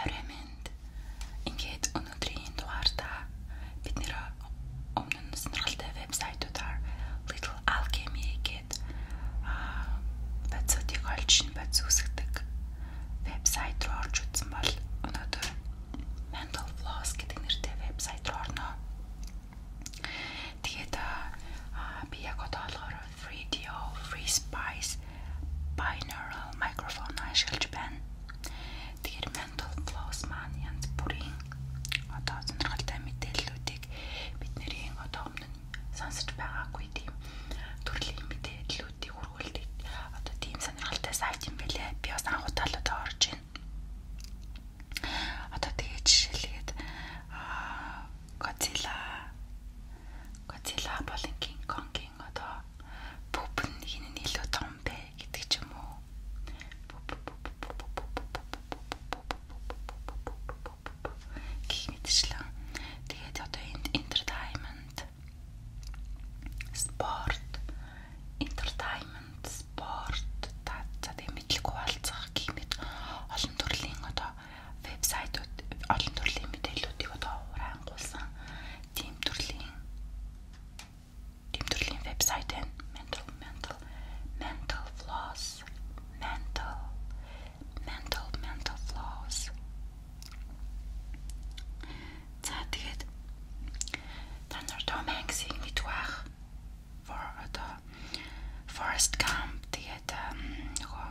Орой минь ингээд өнөөдрийн дугаартаа бид нэр өмнө нь сонирхолтой вебсайтуудаар Little Alchemy гэдэг аа бацуудыг олж бац үсгдэг вебсайт руу орж үзсэн бол өнөөдөр Mental Floss гэдэг нэртэй вебсайт руу орно. Тэгээд аа би яг одоо олохоор 3DO Free Spice binaural microphone ашиглаж байна. Тэгэхээр mental flows маань янз бүрийн одоо сонирхолтой мэдээллүүдийг бид нэрийн одоо өмнө нь сонсож байгаагүй тийм төрлийн мэдээллүүдийг хүргүүлдэг одоо тийм сонирхолтой сайт юм бэлээ. Би бас анх удаа л одоо орж байна. Одоо тэгээд жишээлгээд аа Godzilla. Godzilla бол King Kong-ийн одоо бүб нь хин нь илүү том бэ гэдэг ч юм уу. Гэх мэтчлэн. Тэгээд одоо энд entertainment sport entertainment sport та за тэг мэдлэг хуваалцах гэх мэт олон төрлийн одоо вебсайтууд олон төрлийн мэдээллүүдийг одоо урангуулсан тийм төрлийн тийм төрлийн вебсайт байна. Mental mental mental floss mental mental mental floss. За тэгээд та нар Tom Hanks-ийг мэдгүй байх. For одоо Forest Gump тэгээд нөгөө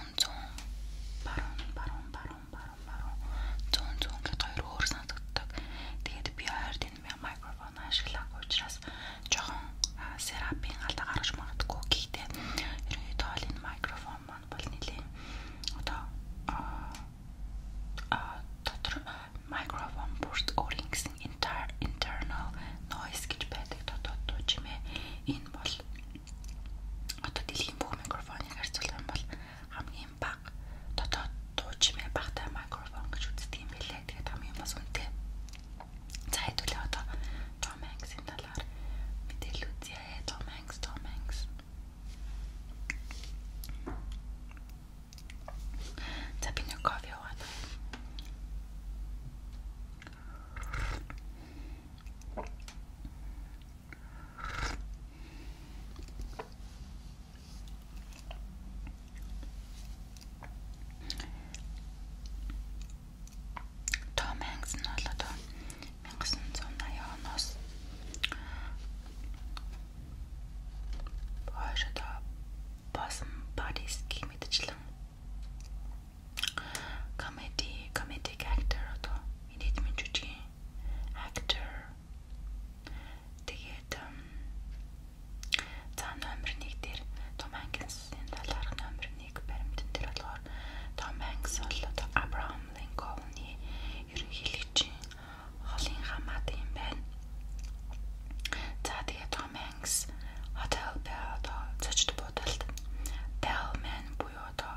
100 баруун баруун баруун баруун баруун 100 100 гэдэг хоёр өөр санагддаг. Тэгээд би хоёрт энэ микрофон ашиглаагүй учраас жоохон серапийн алдаа гаргаж магадгүй гэхдээ ерөнхийдөө энэ микрофон маань бол нэлийн одоо а дотор микрофон бүрт өөрийн гэсэн internal noise гэж байдаг дотоод туу чимээ энэ бол Одоо дэлхийн бүх микрофоныг харьцуулах юм бол хамгийн бага дотоод дуу чимээ багатай микрофон гэж үздэг юм билээ. Тэгээд хамгийн бас үнэтэй. За хэдүүлээ одоо Tom Hanks-ийн талаар мэдээлэл үзье. Tom Hanks, Tom Hanks. За би нэг кофе аваад. Том Хэнкс нь бол одоо 1980 оноос хойш одоо Bosom Bodies гэх мэтчлэн comedy comedic actor одоо миний минь жүжигэн actor тэгээд за номер 1 дээр Том Хэнксийн талаарх номер 1 баримтэн дээр болохоор Том Хэнкс бол одоо Abraham Lincoln-ы ерөнхийлөгчийн холын хамаатан юм байна. За тэгээд Том Хэнкс Hotel Bell одоо цочд буудалд Bellman буюу одоо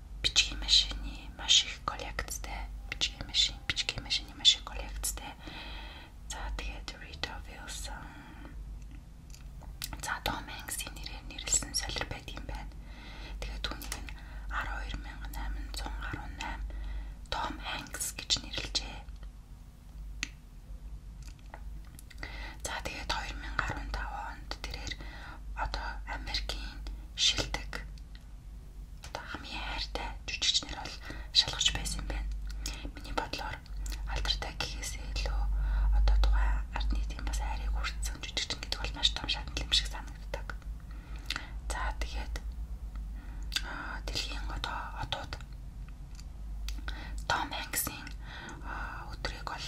бичгийн машины маш их коллекцтэй бичгийн машин бичгийн машины маш их коллекцтэй. За тэгээд Rita Wilson за Tom Hanks-ийн нэрээр нэрлсэн солир байдаг юм байна. Тэгээд түүнийг нь 12818 Tom Hanks гэж нэрлэжээ. За тэгээд 2015 онд тэрээр одоо Америкийн шилдэг хамгийн хайртай жүжигчнэр бол шалгарч байсан юм байна. Миний бодлоор алдартай гэхээсээ илүү одоо тухай ард нийтийн бас хайрыг хүртсэн жүжигчин гэдэг бол маш том шатнал юм шиг санагддаг. За тэгээд дэлхийн одоо одууд Том Хэнксийн өдрийг бол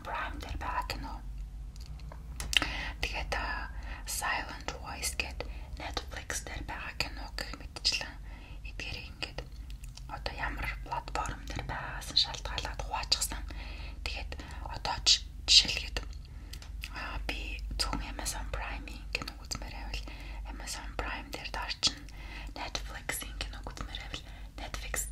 Prime дээр байгаа кино. Тэгээд Silent Voice гэдэг Netflix дээр байгаа кино гэх мэтчлэн эдгээр ингээд одоо ямар платформ дээр байгаас нь шалтгаалаад хуваачихсан. Тэгээд одоо жишээлгээд аа би зөвхөн Amazon Prime-ийн кино үзмээр байвал Amazon Prime дээр даарчин Netflix-ийн кино үзмээр байвал Netflix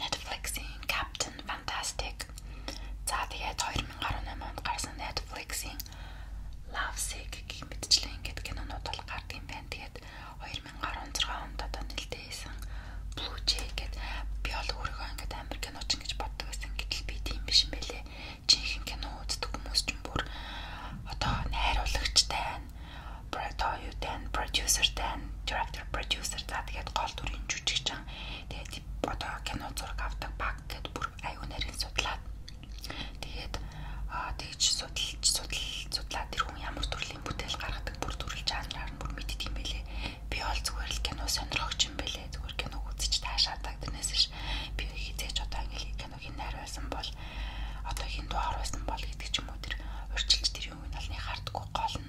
Netflix-ийн Captain Fantastic. За тэгээд 2018 онд гарсан Netflix-ийн Love Sick гэх мэтчлэн ингээд кинонууд бол гардаг юм байна. Тэгээд 2016 онд одоо нэлээд хийсэн Blue Jay гэдэг би бол өөрийгөө ингээд амар киноч гэж боддог байсан. Гэтэл би тийм биш юм байлээ. Жинхэнэ кино үздэг хүмүүс ч бүр одоо найруулагчтай, продюсертай, продюсертай авдаг продюсер за тэгээд гол дүрийн жүжигчин тэгээд одоо кино зураг авдаг баг гэд бүр аюу нарийн судлаад тэгээд тэгж судалж судал судлаад тэр хүн ямар төрлийн бүтээл гаргадаг бүр төрөл жанраар нь бүр мэддэг юм байлээ би бол зүгээр л кино сонирхогч юм байлээ зүгээр киног үзэж таашаадаг тэрнээс ш би хизээж одоо ингээл киног ин найруулсан бол одоо хин дуу харуулсан бол гэдэг ч юм уу тэр урчилж тэр юм алны хардггүй гол нь